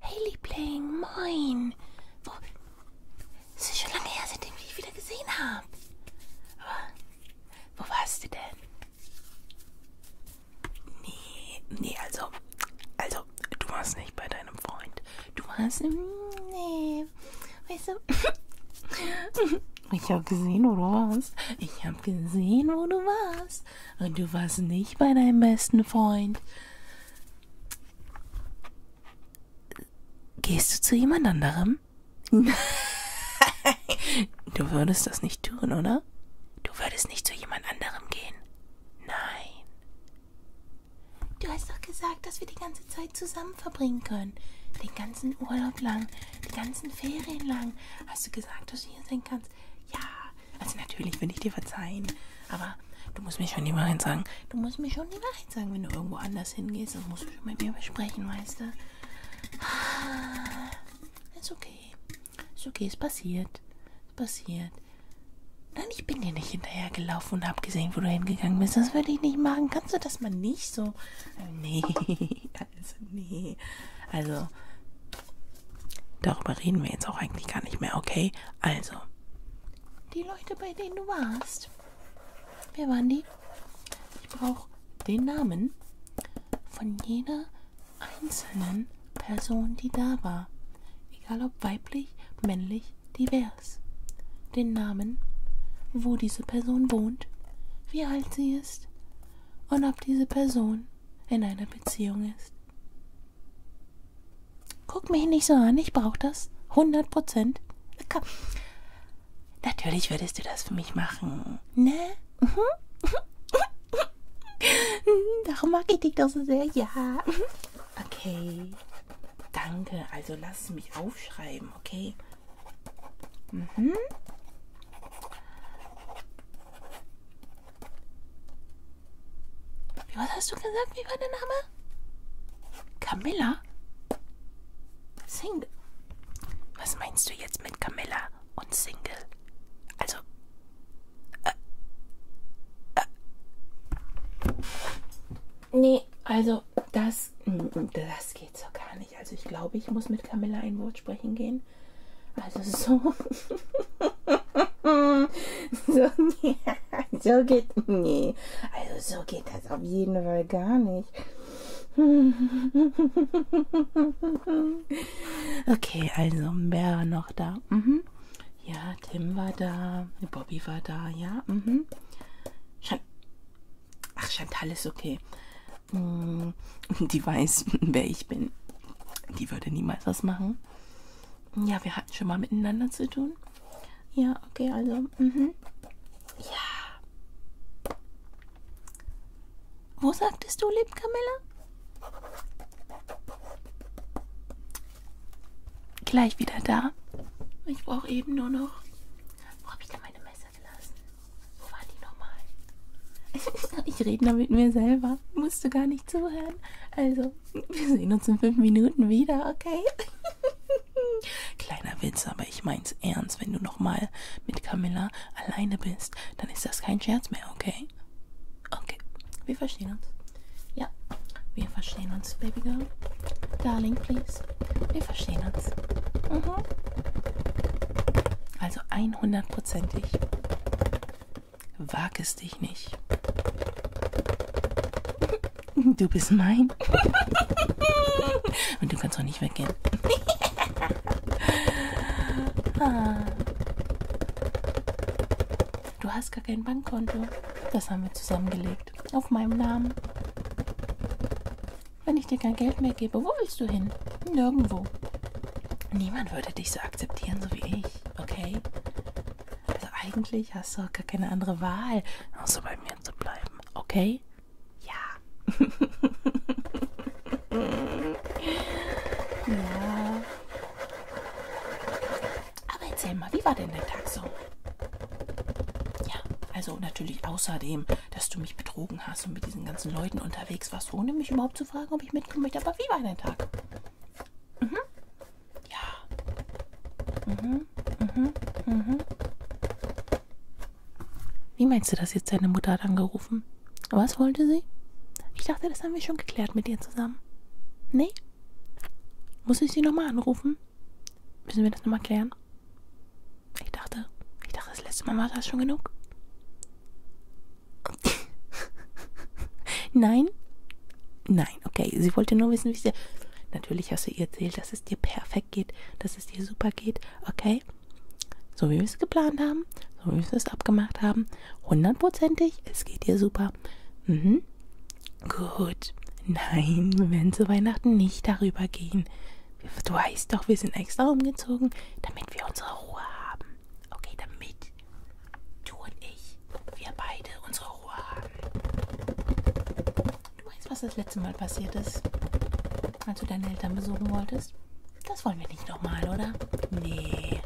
Hey Liebling, moin. Wo? Es ist schon lange her, seitdem ich dich wieder gesehen habe. Wo warst du denn? Nee, nee, also, also, du warst nicht bei deinem Freund. Du warst, nee, weißt du, ich habe gesehen, wo du warst. Ich habe gesehen, wo du warst warst und du warst nicht bei deinem besten Freund, gehst du zu jemand anderem? du würdest das nicht tun, oder? Du würdest nicht zu jemand anderem gehen. Nein. Du hast doch gesagt, dass wir die ganze Zeit zusammen verbringen können. Den ganzen Urlaub lang, die ganzen Ferien lang. Hast du gesagt, dass du hier sein kannst? Ja, also natürlich will ich dir verzeihen, aber du musst mir schon die Wahrheit sagen. Du musst mir schon die Wahrheit sagen, wenn du irgendwo anders hingehst. Das musst du schon mit mir besprechen, weißt du? Ist okay. Ist okay, es passiert. Es passiert. Nein, ich bin dir nicht hinterhergelaufen und hab gesehen, wo du hingegangen bist. Das würde ich nicht machen. Kannst du das mal nicht so? Äh, nee, also nee. Also, Darüber reden wir jetzt auch eigentlich gar nicht mehr, okay? Also. Die Leute, bei denen du warst. Wer waren die? Ich brauche den Namen von jeder einzelnen Person, die da war. Egal ob weiblich, männlich, divers. Den Namen, wo diese Person wohnt, wie alt sie ist und ob diese Person in einer Beziehung ist. Guck mich nicht so an, ich brauche das. 100 Prozent. Komm. Natürlich würdest du das für mich machen. Ne? Darum mag ich dich doch so sehr. Ja. Okay. Danke. Also lass mich aufschreiben, okay? Mhm. Wie, was hast du gesagt? Wie war der Name? Camilla? Single. Was meinst du jetzt mit Camilla und Single? Also. Äh, äh. Nee, also das, mm, mm, das geht so gar nicht. Also ich glaube, ich muss mit Camilla ein Wort sprechen gehen. Also so. so, so geht. Nee. Also so geht das auf jeden Fall gar nicht. okay, also wer war noch da? Mhm. Ja, Tim war da, Bobby war da, ja. Mhm. Ach, Chantal ist okay. Mm, die weiß, wer ich bin. Die würde niemals was machen. Ja, wir hatten schon mal miteinander zu tun. Ja, okay, also. Mhm. Ja. Wo sagtest du, lieb Camilla? Gleich wieder da. Ich brauche eben nur noch. Wo habe ich denn meine Messer gelassen? Wo waren die nochmal? ich rede da mit mir selber. Musst du gar nicht nicht zuhören. Also, wir sehen uns in fünf Minuten wieder, okay? Kleiner Witz, aber ich mein's ernst. Wenn du nochmal mit Camilla alleine bist, dann ist das kein Scherz mehr, okay? Okay, wir verstehen uns. Ja, wir verstehen uns, Baby Girl. Darling, please. Wir verstehen uns. Mhm. Also 100%ig. Wag es dich nicht. Du bist mein. Und du kannst auch nicht weggehen. Du hast gar kein Bankkonto. Das haben wir zusammengelegt. Auf meinem Namen. Wenn ich dir kein Geld mehr gebe, wo willst du hin? Nirgendwo. Niemand würde dich so akzeptieren, so wie ich, okay? Also eigentlich hast du auch gar keine andere Wahl, außer bei mir zu bleiben, okay? Ja. ja. Aber erzähl mal, wie war denn dein Tag so? Ja, also natürlich außerdem, dass du mich betrogen hast und mit diesen ganzen Leuten unterwegs warst, ohne mich überhaupt zu fragen, ob ich mitkommen möchte. Aber wie war dein Tag? Mhm. Ja. Mhm, mhm, mhm. Wie meinst du das jetzt? Deine Mutter hat angerufen. Was wollte sie? Ich dachte, das haben wir schon geklärt mit dir zusammen. Nee? Muss ich sie nochmal anrufen? Müssen wir das nochmal klären? Ich dachte, ich dachte, das letzte Mal war das schon genug. Nein? Nein. Nein, okay, sie wollte nur wissen, wie es dir... Natürlich hast du ihr erzählt, dass es dir perfekt geht, dass es dir super geht, okay? So wie wir es geplant haben, so wie wir es abgemacht haben, hundertprozentig, es geht dir super. Mhm. Gut. Nein, wir werden zu Weihnachten nicht darüber gehen. Du weißt doch, wir sind extra umgezogen, damit wir unsere Ruhe haben. Okay, damit Du und ich, wir beide unsere Ruhe haben. Du weißt, was das letzte Mal passiert ist, als du deine Eltern besuchen wolltest? Das wollen wir nicht nochmal, oder? Nee.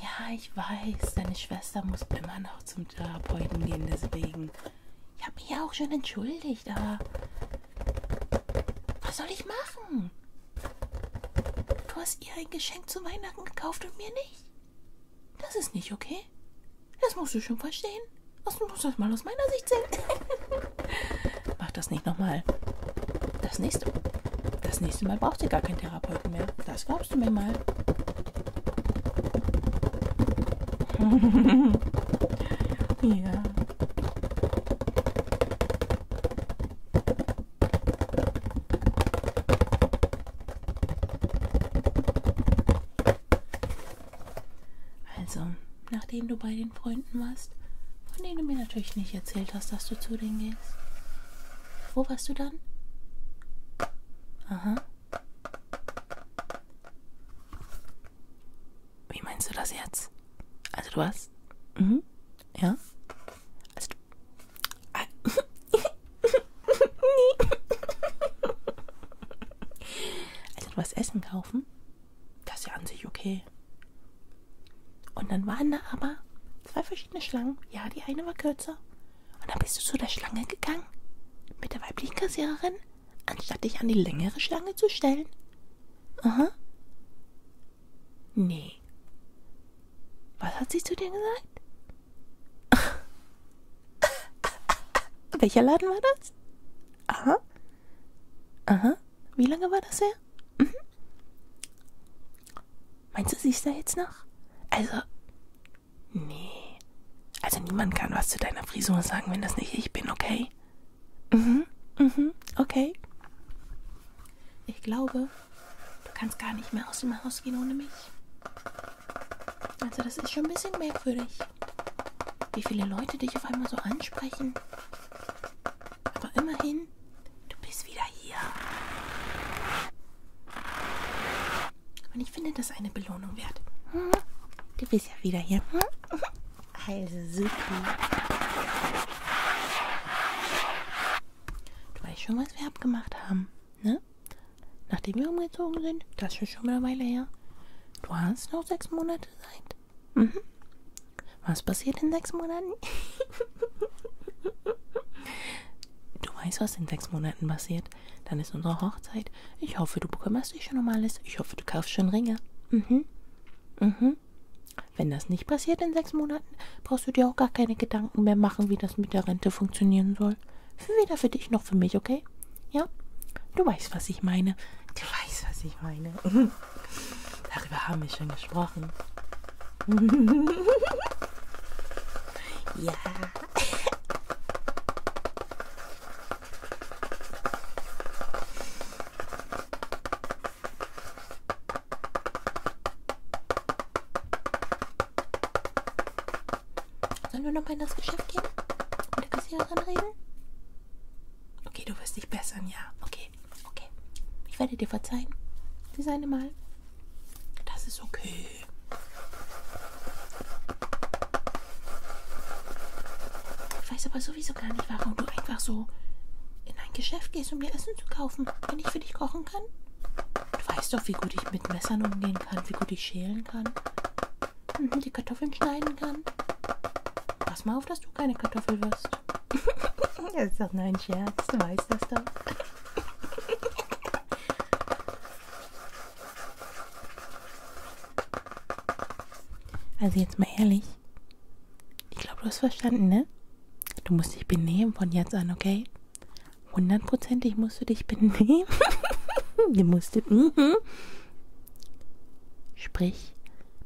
Ja, ich weiß, deine Schwester muss immer noch zum Therapeuten gehen, deswegen. Ich habe mich ja auch schon entschuldigt, aber was soll ich machen? Du hast ihr ein Geschenk zu Weihnachten gekauft und mir nicht. Das ist nicht okay. Das musst du schon verstehen. Das musst du mal aus meiner Sicht sehen. Mach das nicht nochmal. Das nächste Mal. Das nächste Mal braucht ihr gar keinen Therapeuten mehr. Das glaubst du mir mal. ja. Also, nachdem du bei den Freunden warst, von denen du mir natürlich nicht erzählt hast, dass du zu denen gehst. Wo warst du dann? Aha. Wie meinst du das jetzt? Also du warst? Mhm. Ja. Also also was Essen kaufen, das ist ja an sich okay. Und dann waren da aber zwei verschiedene Schlangen. Ja, die eine war kürzer. Und dann bist du zu der Schlange gegangen mit der weiblichen Kassiererin, anstatt dich an die längere Schlange zu stellen. Aha. Nee. Harry. Was hat sie zu dir gesagt? Welcher Laden war das? Aha. Aha. Wie lange war das her? Mhm. Meinst du, sie ist da jetzt noch? Also. Nee. Also niemand kann was zu deiner Frisur sagen, wenn das nicht ich bin, okay? Mhm. Mhm. Okay. Ich glaube, Du kannst gar nicht mehr aus dem Haus gehen ohne mich. Also das ist schon ein bisschen merkwürdig, wie viele Leute dich auf einmal so ansprechen. Aber immerhin, du bist wieder hier. Und ich finde das eine Belohnung wert. Hm? Du bist ja wieder hier. Hm? Also super. Du weißt schon, was wir abgemacht haben, ne? Nachdem wir umgezogen sind, das ist schon eine Weile her. Du hast noch sechs Monate Zeit. Mhm. Was passiert in sechs Monaten? du weißt, was in sechs Monaten passiert. Dann ist unsere Hochzeit. Ich hoffe, du bekümmerst dich schon um alles. Ich hoffe, du kaufst schon Ringe. Mhm. Mhm. Wenn das nicht passiert in sechs Monaten, brauchst du dir auch gar keine Gedanken mehr machen, wie das mit der Rente funktionieren soll. Weder für dich noch für mich, okay? Ja? Du weißt, was ich meine. Du weißt, was ich meine. Darüber haben wir schon gesprochen. ja. Sollen wir nochmal in das Geschäft gehen? Mit der Kassiererin reden? Okay, du wirst dich bessern, ja. Okay, okay. Ich werde dir verzeihen. Sie seine mal. Das ist okay. Ich weiß aber sowieso gar nicht, warum du einfach so in ein Geschäft gehst, um dir Essen zu kaufen, wenn ich für dich kochen kann. Du weißt doch, wie gut ich mit Messern umgehen kann, wie gut ich schälen kann. Mhm, die Kartoffeln schneiden kann. Pass mal auf, dass du keine Kartoffel wirst. das ist doch nur ein Scherz, du weißt das doch. Also jetzt mal ehrlich. Ich glaube, du hast verstanden, ne? Du musst dich benehmen von jetzt an, okay? Hundertprozentig musst du dich benehmen. du musst. Mm -hmm. Sprich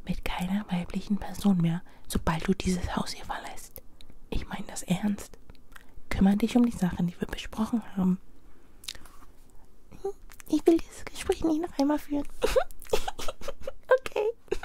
mit keiner weiblichen Person mehr, sobald du dieses Haus hier verlässt. Ich meine das ernst. Kümmere dich um die Sachen, die wir besprochen haben. Ich will dieses Gespräch nicht noch einmal führen. okay.